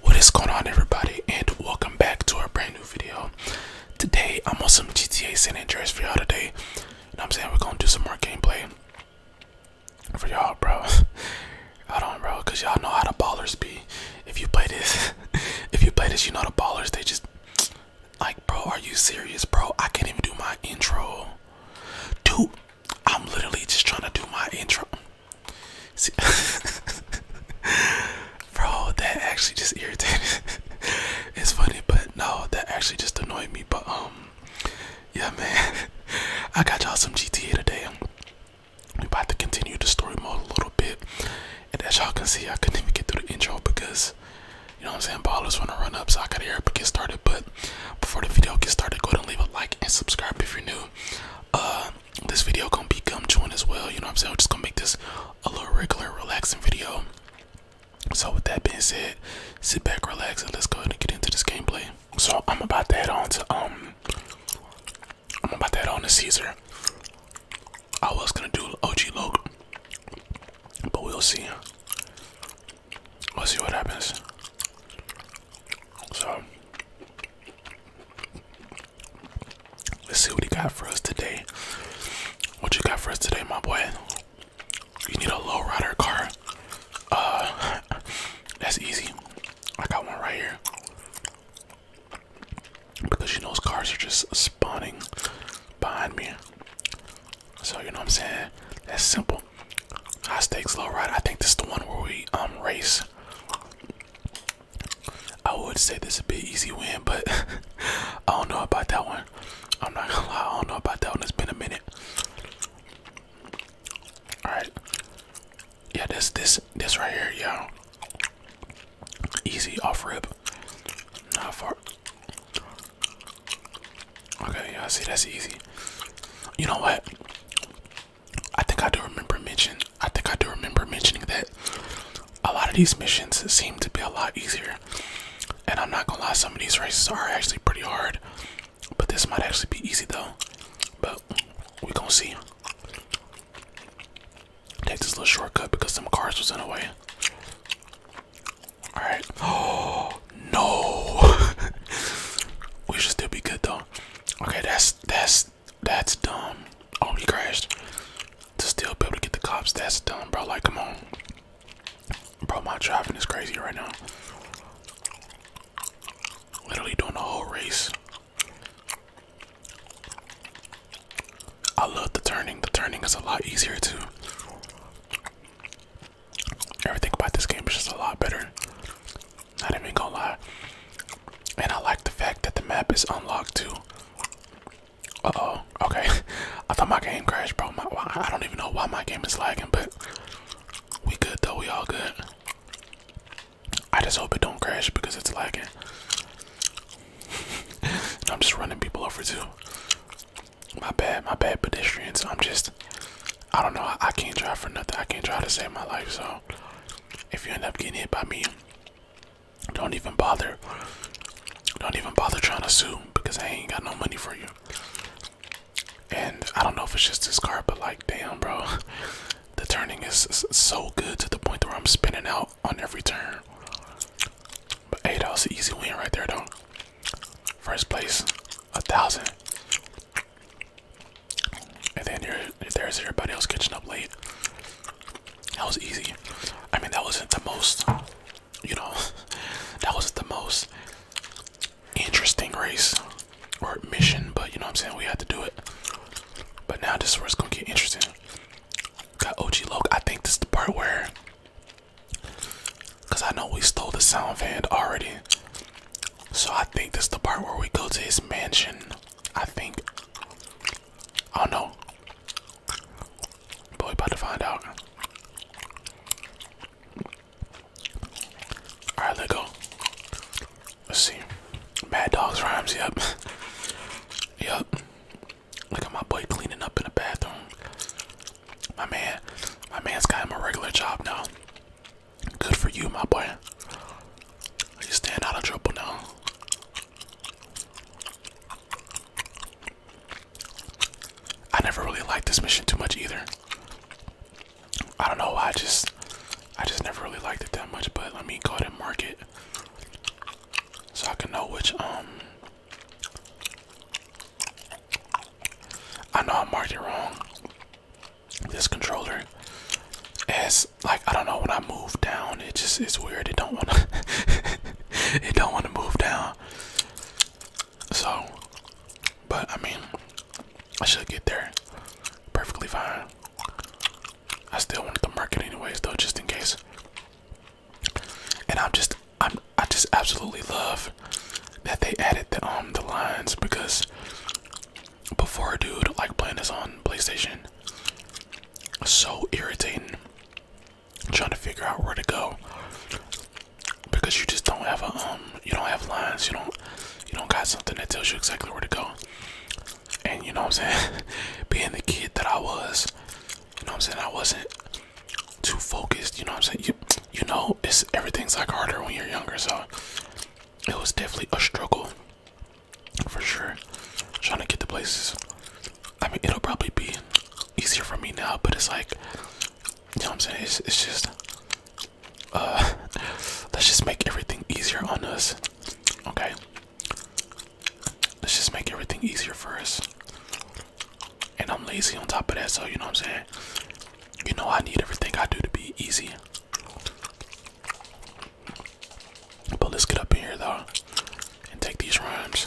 What is going on everybody and welcome back to our brand new video. Today I'm on some GTA San Andreas for y'all today. And I'm saying we're gonna do some more gameplay for y'all bro. Hold on bro, cause y'all know how the ballers be. If you play this, if you play this, you know the ballers, they just like bro, are you serious bro? I can't even do my intro. Dude, I'm literally just trying to do my intro. See, bro, that actually just irritated. it's funny, but no, that actually just annoyed me. But um, yeah, man, I got y'all some GTA today. We about to continue the story mode a little bit, and as y'all can see, I couldn't even get through the intro because. You know what I'm saying? Ballers want to run up, so I gotta hear up get started. But before the video gets started, go ahead and leave a like and subscribe if you're new. Uh, this video gonna be gum chewing as well. You know what I'm saying? just gonna make this a little regular, relaxing video. So with that being said, sit back, relax, and let's go ahead and get into this gameplay. So I'm about to head on to um, I'm about to head on to Caesar. I was gonna do OG Loke, but we'll see. We'll see what happens. So Let's see what he got for us today. What you got for us today, my boy? You need a low rider car. Uh, that's easy. I got one right here. Because you know, cars are just spawning behind me. So you know what I'm saying? That's simple. High stakes, low ride. I think this is the one where we um race. I would say this would be an easy win, but I don't know about that one. I'm not gonna lie, I don't know about that one. It's been a minute. Alright. Yeah, this this this right here, y'all. Easy off rip. Not far. Okay, yeah, I see that's easy. You know what? I think I do remember mention. I think I do remember mentioning that a lot of these missions seem to be a lot easier. And I'm not gonna lie, some of these races are actually pretty hard. But this might actually be easy though. But we gonna see. Take this little shortcut because some cars was in the way. Alright. Oh no. we should still be good though. Okay, that's that's that's dumb. Oh, he crashed. To still be able to get the cops, that's dumb, bro. Like, come on, bro. My driving is crazy right now. Literally doing the whole race. I love the turning. The turning is a lot easier too. Everything about this game is just a lot better. I Not even gonna lie. And I like the fact that the map is unlocked too. oh. Okay. I thought my game crashed, bro. My, I don't even know why my game is lagging, but we good though. We all good. I just hope it don't crash because it's lagging. I'm just running people over too. My bad, my bad, pedestrians. I'm just I don't know. I, can't drive for nothing. I can't try to save my life. So if you end up getting hit by me, don't even bother. Don't even bother trying to sue because I ain't got no money for you. And I don't know if it's just this car, but like, damn, bro, the turning is so good to the point where I'm spinning out on every turn. But hey, that was an easy win right there, though. First place, a thousand. And then you're, there's everybody else catching up late. That was easy. I mean, that wasn't the most, you know, that wasn't the most interesting race or mission, but you know what I'm saying? We had to do it. But now this one's gonna get interesting. Got OG Loke. I think this is the part where, because I know we stole the sound van already. So I think this is the part where we go to his mansion. I think. Oh no. boy, about to find out. Alright, let's go. Let's see. Mad Dogs rhymes, yep. yep. Look at my boy cleaning up in the bathroom. My man, my man's got him a regular job now. Good for you, my boy. You stand out of trouble now. I never really liked this mission too much either. I don't know why I just I just never really liked it that much, but let me go ahead and mark it. So I can know which um I know I marked it wrong. This controller is like I don't know when I move down, it just it's weird. It don't wanna it don't wanna move down. So but I mean I should get there perfectly fine. I still wanted to market anyways though just in case. And I'm just I'm I just absolutely love that they added the um the lines because before dude like playing this on PlayStation so irritating trying to figure out where to go because you just don't have a um you don't have lines you don't you don't got something that tells you exactly where to go and you know what I'm saying being the kid that I was you know what I'm saying I wasn't too focused you know what I'm saying you, know, it's everything's like harder when you're younger, so it was definitely a struggle for sure. Trying to get the places. I mean, it'll probably be easier for me now, but it's like, you know what I'm saying? It's, just, uh, let's just make everything easier on us, okay? Let's just make everything easier for us. And I'm lazy on top of that, so you know what I'm saying? You know, I need everything I do to be easy. But let's get up in here though and take these rhymes.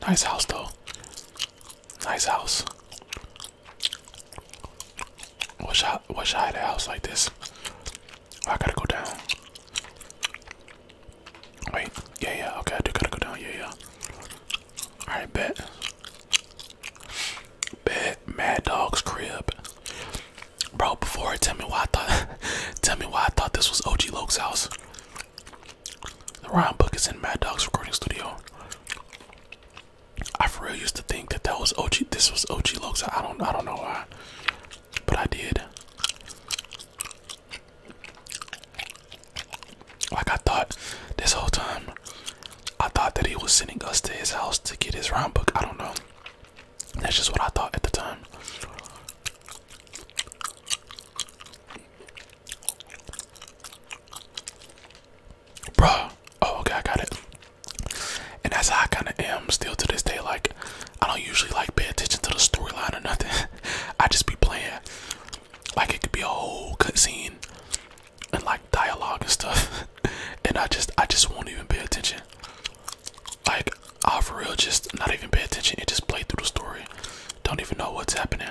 Nice house though. Nice house. Wish I wish I had a house like this. Oh, I gotta go down. Wait, yeah, yeah, okay, I do gotta go down, yeah, yeah. Alright, bet. Bet Mad Dog's crib. Bro, before tell me why I thought tell me why I thought this was OG Loke's house. The rhyme book is in Mad Dog's recording studio. I for real used to think that that was OG. This was OG Loke's. I don't. I don't know why, but I did. Like I thought this whole time, I thought that he was sending us to his house to get his round I don't know. That's just what I thought at the time. Bruh. Oh, okay, I got it. And that's how I kind of am still to this day. Like, I don't usually like pay attention to the storyline or nothing. I just be playing. Like it could be a whole scene and like dialogue and stuff, and I just I just won't even pay attention. Like i for real just not even pay attention and just play through the story. Don't even know what's happening.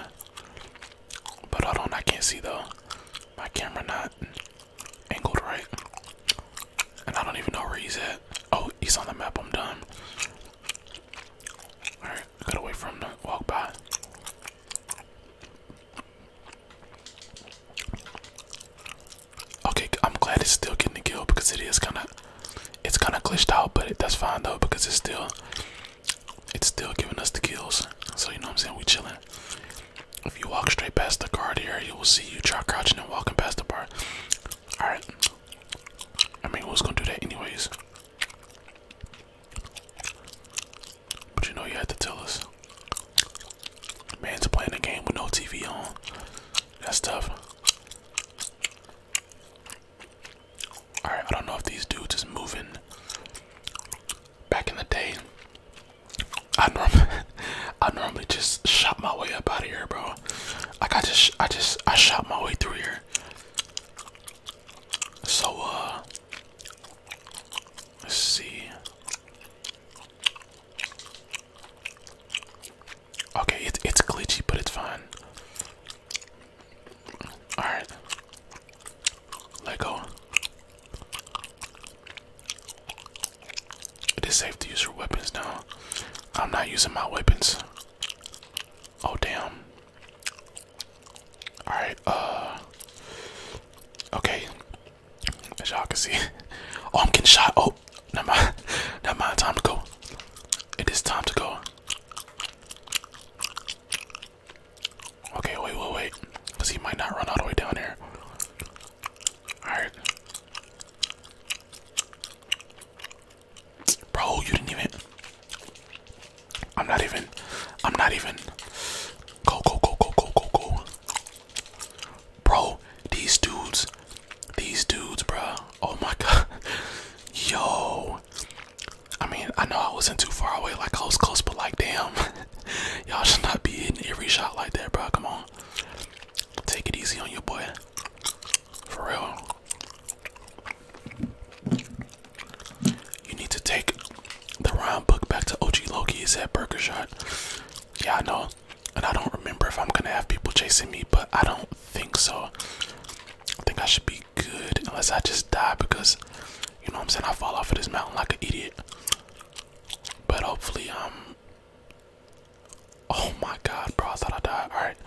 But I don't I can't see though. My camera not angled right, and I don't even know where he's at. Oh, he's on the map. I'm done. All right. Get away from the walk by. Okay, I'm glad it's still getting the kill because it is kind of, it's kind of glitched out, but it, that's fine though because it's still, it's still giving us the kills. So you know what I'm saying? We chilling. If you walk straight past the guard here, you will see you try crouching and walking past the bar. All right. I mean, we who's gonna do that anyways? But you know you had to tell us. Man's playing a game with no TV on. That's tough. Alright, I don't know if these dudes is moving. Back in the day, I normally, I normally just shot my way up out of here, bro. Like I just, I just, I shot my way through here. So, uh, let's see. Okay, it, it's glitchy, but it's fine. Alright. Let go. It is safe to use your weapons now. I'm not using my weapons. Oh damn. Alright, uh Okay. As y'all can see. Oh I'm getting shot. Oh, never mind. Never mind, time to go. It is time to go. Okay, wait, wait, wait. Cause he might not run all the way down here. Alright. Bro, you didn't even. I'm not even. I'm not even. Go, go, go, go, go, go, go. Bro, these dudes. These dudes, bro. Oh my god. Yo. I mean, I know I wasn't too far away, like I was close, but like, damn. Y'all should not be hitting every shot like that, bro. Come on. Take it easy on your boy. For real. You need to take the round book back to OG Loki. Is at Burger Shot. Yeah, I know. And I don't remember if I'm gonna have people chasing me, but I don't think so. I think I should be good unless I just die because you know what I'm saying I fall off of this mountain like an idiot. But hopefully um Oh my god, bro, I thought I died. Alright.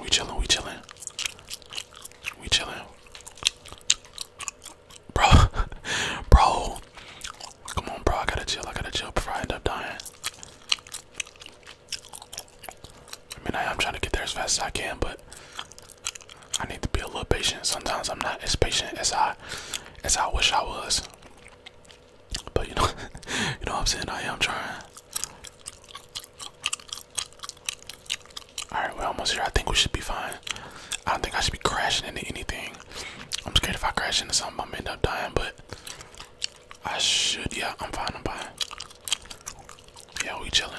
We chilling, we chilling. We chilling. Bro, bro. Come on, bro, I gotta chill, I gotta chill before I end up dying. I mean, I am trying to get there as fast as I can, but I need to be a little patient. Sometimes I'm not as patient as I as I wish I was. But you know, you know what I'm saying. I am trying. All right, we're almost here. I think we should be fine. I don't think I should be crashing into anything. I'm scared if I crash into something, I'm end up dying. But I should. Yeah, I'm fine. I'm fine. Yeah, we chilling.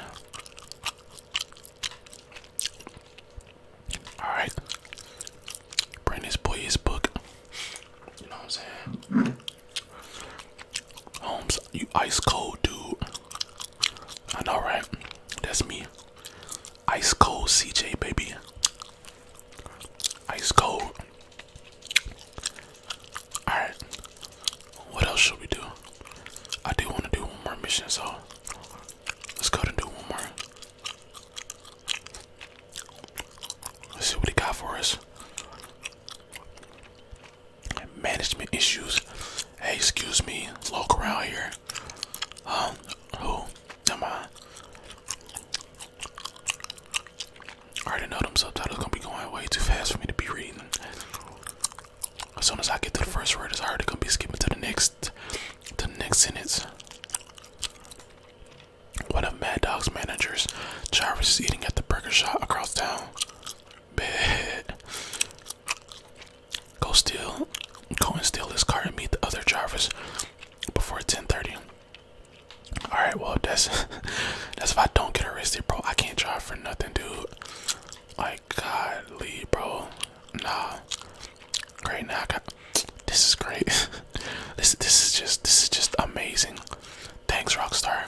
All right. Bring this boy his book. You know what I'm saying? Holmes, you ice cold, dude. I know, right? That's me. Ice cold CJ, baby. Ice cold. Alright. What else should we do? I do want to do one more mission, so let's go and do one more. Let's see what he got for us. Management issues. Hey, excuse me, local around here. Um, who? Am I? already know them subtitles gonna be going way too fast for me to be reading. As soon as I get to the first word, it's already gonna be skipping to the next, to the next sentence. One of Mad Dog's managers, Jarvis, is eating at the burger shop across town. Bad. Go steal, go and steal this car and meet the other Jarvis before 10:30. All right, well that's that's if I don't get arrested, bro. I can't drive for nothing, dude. Like, godly, bro. Nah. Great, now I got this is great. this this is just this is just amazing. Thanks, Rockstar.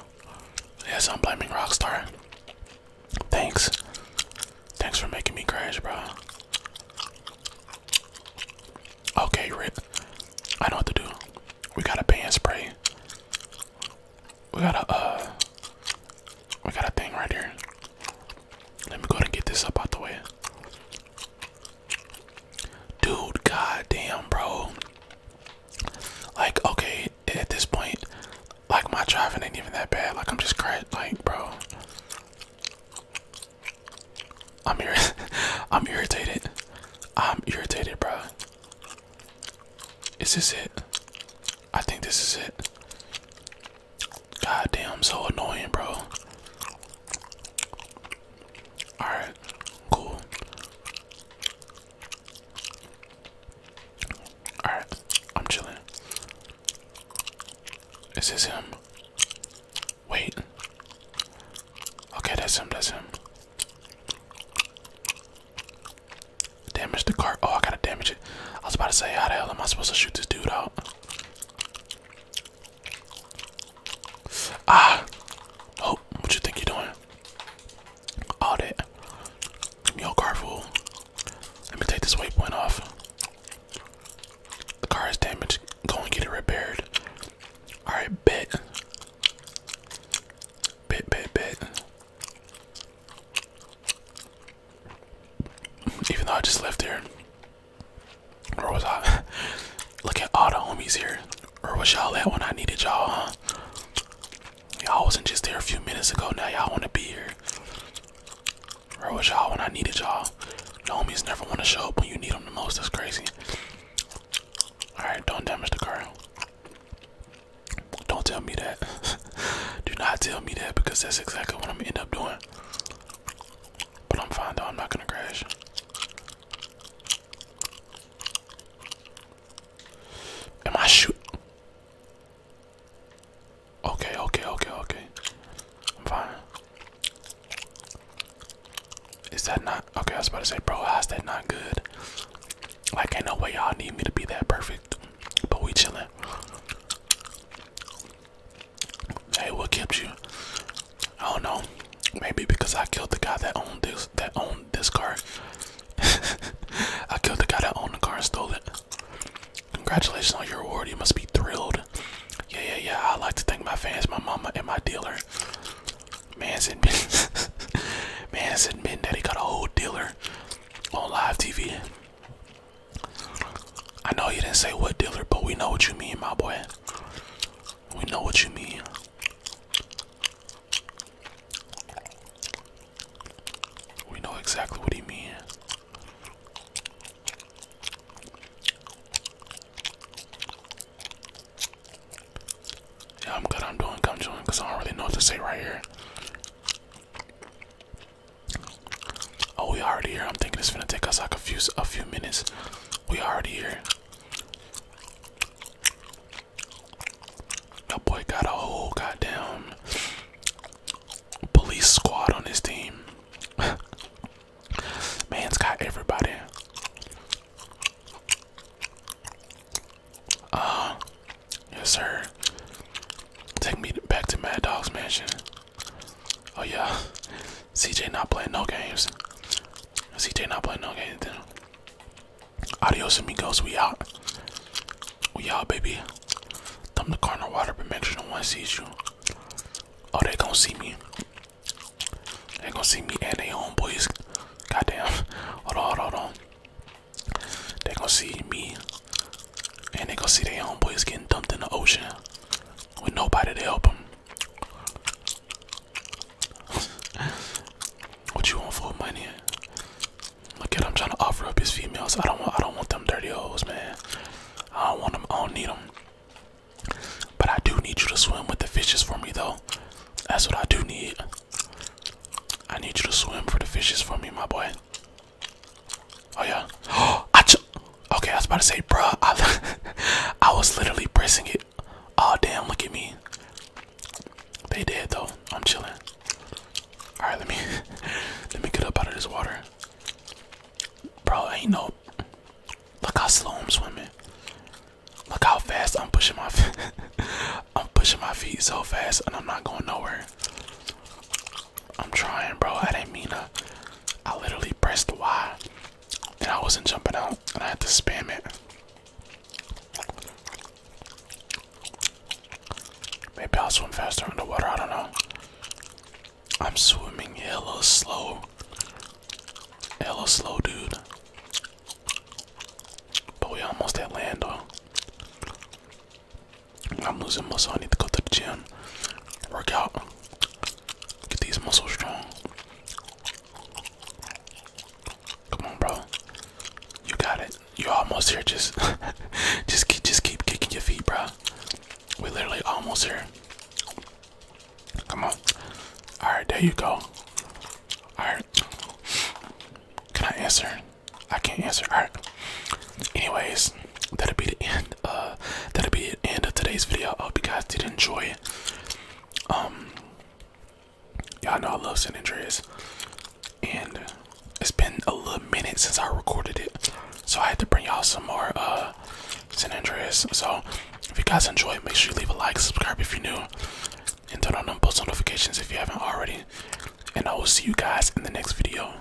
Yes, I'm blaming Rockstar. Thanks. Thanks for making me crash, bro. Okay, Rip. I know what to do. We got a band spray. We got a uh we got a thing right here. Let me go and get this up out the way. Dude, goddamn, bro. Like, okay, at this point, like my driving ain't even that bad. Like I'm just cracked, like, bro. I'm ir I'm irritated. I'm irritated, bro. Is this it? I think this is it. God damn, so annoying, bro. Alright, cool. Alright, I'm chilling. Is this him? Wait. Okay, that's him, that's him. Damage the cart. Oh, I gotta damage it. I was about to say, how the hell am I supposed to shoot this dude out? Ah, oh, what you think you're doing? All that. Yo, Carfool. Let me take this waypoint off. The car is damaged. Go and get it repaired. All right, bet. Bet, bet, bet. Even though I just left here, where was I? Look at all the homies here. Or was y'all that when I needed y'all, huh? Y'all wasn't just there a few minutes ago. Now y'all want to be here. Or was y'all when I needed y'all? The homies never want to show up when you need them the most. That's crazy. Alright, don't damage the car. Don't tell me that. Do not tell me that because that's exactly what I'm gonna end up doing. But I'm fine though, I'm not gonna crash. Am I shoot? Okay, okay, okay, okay. I'm fine. Is that not okay? I was about to say, bro, how's that not good? Like, ain't no way y'all need me to be that perfect, but we chilling. Hey, what kept you? I don't know. Maybe because I killed the guy that owned this that owned this car. I killed the guy that owned the car and stole it. Congratulations on your award. You must be thrilled. Yeah, yeah, yeah. I like to thank my fans, my mama, and my dealer. Man's admitting, man's admitting that he got a whole dealer on live TV. I know you didn't say what dealer, but we know what you mean, my boy. We know what you mean. We know exactly what you mean. Yeah, I'm good. I'm doing come join because I don't really know what to say right here. Oh, we already here. I'm thinking it's gonna take us like a few a few minutes. We already here. That boy got a whole goddamn police squad on his team. Man's got everybody. Uh, yes, sir. Take me back to Mad Dog's mansion. Oh yeah, CJ not playing no games. CJ not playing no games. Then. Adios amigos, we out. We out, baby. Thumb the corner water, but make sure no one sees you. Oh, they gonna see me. They gonna see me and they homeboys. Goddamn. Hold on, hold on, hold on. They gonna see me and they gonna see their homeboys getting dumped in the ocean with nobody to help them. what you want for money? Look at I'm trying to offer up his females. I don't want. I don't want them dirty hoes, man. I don't want them. I don't need them. But I do need you to swim with the fishes for me, though. That's what I do need. I need you to swim for the fishes for me, my boy. Oh yeah. okay, I was about to say, bro. I, was literally pressing it. Oh damn, look at me. They did though. I'm chilling. All right, let me let me get up out of this water, bro. Ain't no. Look how slow I'm swimming. Look how fast I'm pushing my. I'm pushing my feet so fast, and I'm not going nowhere. I'm trying, bro. I didn't mean to. I literally pressed the Y and I wasn't jumping out and I had to spam it. Maybe I'll swim faster in the water. I don't know. I'm swimming hella slow. Hella slow, dude. But we almost at land, though. I'm losing muscle. I need to go to the gym, work out, get these muscles strong. Come on, bro. You got it. You're almost here. Just, just keep, just keep kicking your feet, bro. We're literally almost here. Come on. All right, there you go. All right. Can I answer? I can't answer. All right anyways that'll be the end uh that'll be the end of today's video i hope you guys did enjoy um y'all know i love san andreas and it's been a little minute since i recorded it so i had to bring y'all some more uh andreas so if you guys enjoyed make sure you leave a like subscribe if you're new and turn on them post notifications if you haven't already and i will see you guys in the next video